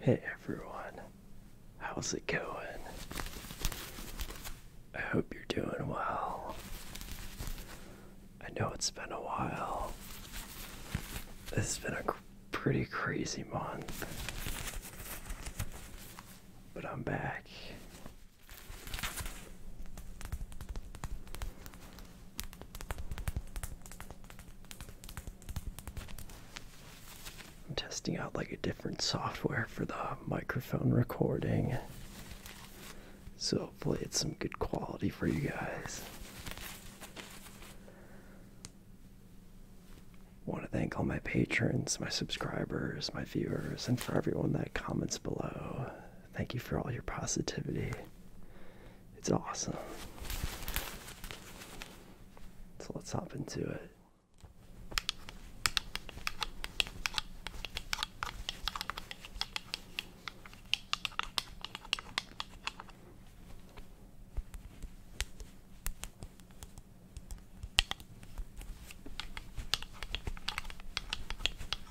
Hey everyone, how's it going? I hope you're doing well. I know it's been a while. It's been a pretty crazy month. But I'm back I'm testing out like a different software for the microphone recording. So hopefully it's some good quality for you guys. Want to thank all my patrons, my subscribers, my viewers, and for everyone that comments below. Thank you for all your positivity. It's awesome. So let's hop into it.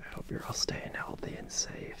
I hope you're all staying healthy and safe.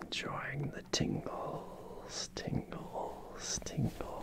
enjoying the tingles, tingles, tingles.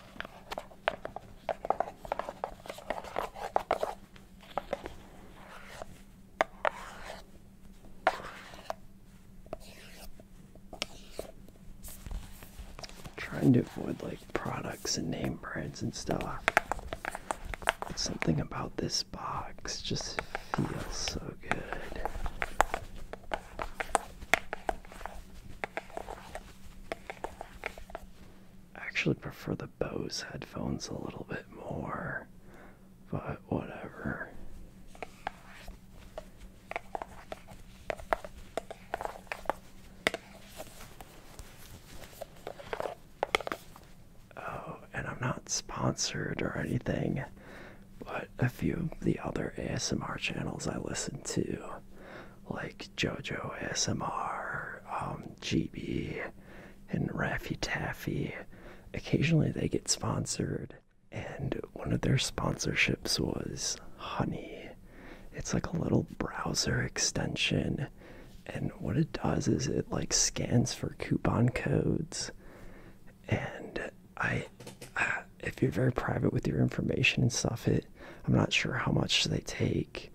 Trying to avoid like products and name brands and stuff. But something about this box just feels so good. I actually prefer the Bose headphones a little bit more, but whatever. Oh, and I'm not sponsored or anything, but a few of the other ASMR channels I listen to like JoJo S M R, um, GB, and Raffy Taffy. Occasionally they get sponsored, and one of their sponsorships was Honey. It's like a little browser extension, and what it does is it like scans for coupon codes. And I, if you're very private with your information and stuff, it I'm not sure how much they take,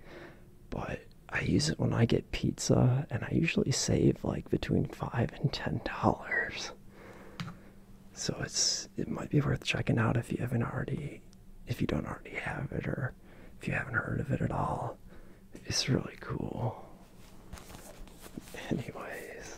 but I use it when I get pizza, and I usually save like between five and ten dollars. So it's it might be worth checking out if you haven't already, if you don't already have it, or if you haven't heard of it at all. It's really cool. Anyways,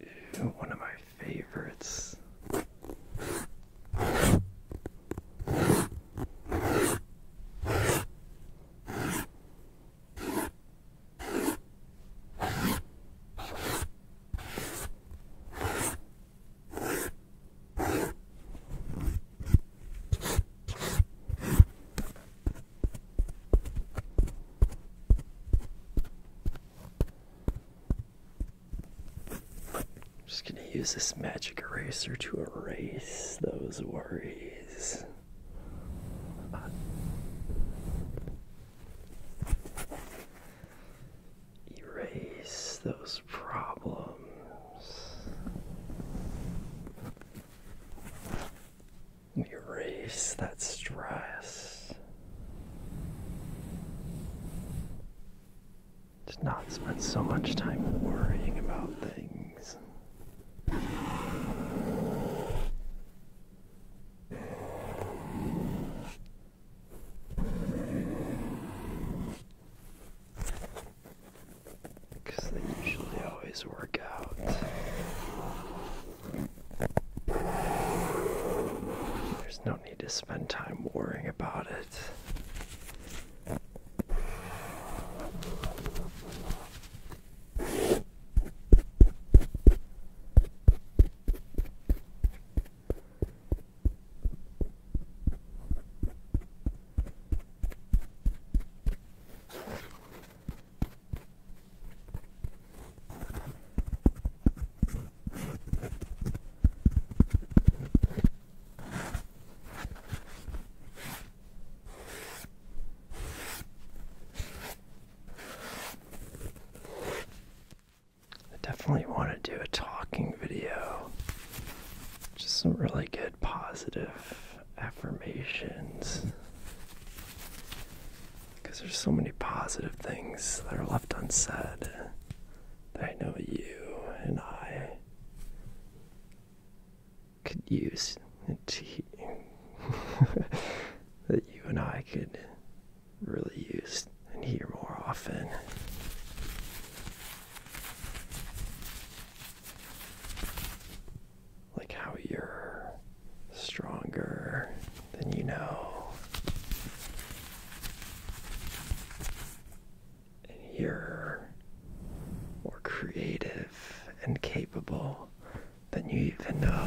Ew, one of my favorites. I'm Just gonna use this magic eraser to erase those worries. Erase those problems. We erase that stress. Just not spend so much time worrying about things. Because they usually always work out. There's no need to spend time worrying about it. I definitely want to do a talking video. Just some really good positive affirmations. Because there's so many positive things that are left unsaid that I know you and I could use to, that you and I could really use and hear more often like how you're stronger than you know, and you're more creative and capable than you even know.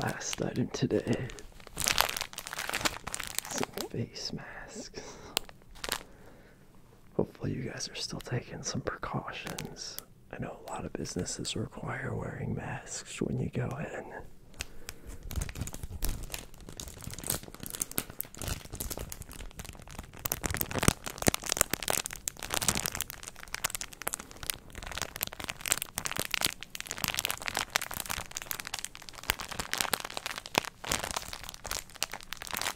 Last item today some face masks. Hopefully, you guys are still taking some precautions. I know a lot of businesses require wearing masks when you go in.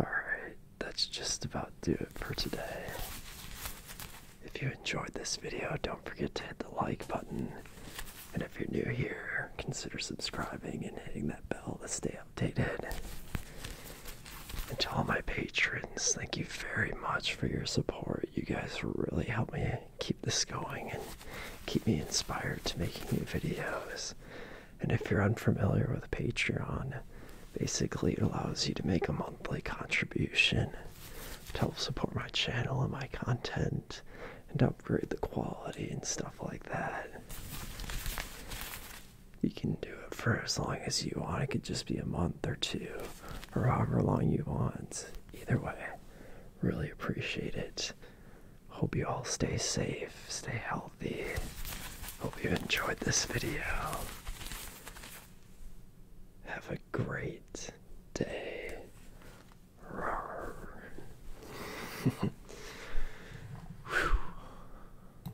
Alright, that's just about do it for today. If you enjoyed this video, don't forget to hit the like button. And if you're new here, consider subscribing and hitting that bell to stay updated. And to all my patrons, thank you very much for your support. You guys really help me keep this going and keep me inspired to making new videos. And if you're unfamiliar with Patreon, basically it allows you to make a monthly contribution to help support my channel and my content and upgrade the quality and stuff like that you can do it for as long as you want. It could just be a month or two or however long you want. Either way, really appreciate it. Hope you all stay safe, stay healthy. Hope you enjoyed this video. Have a great day.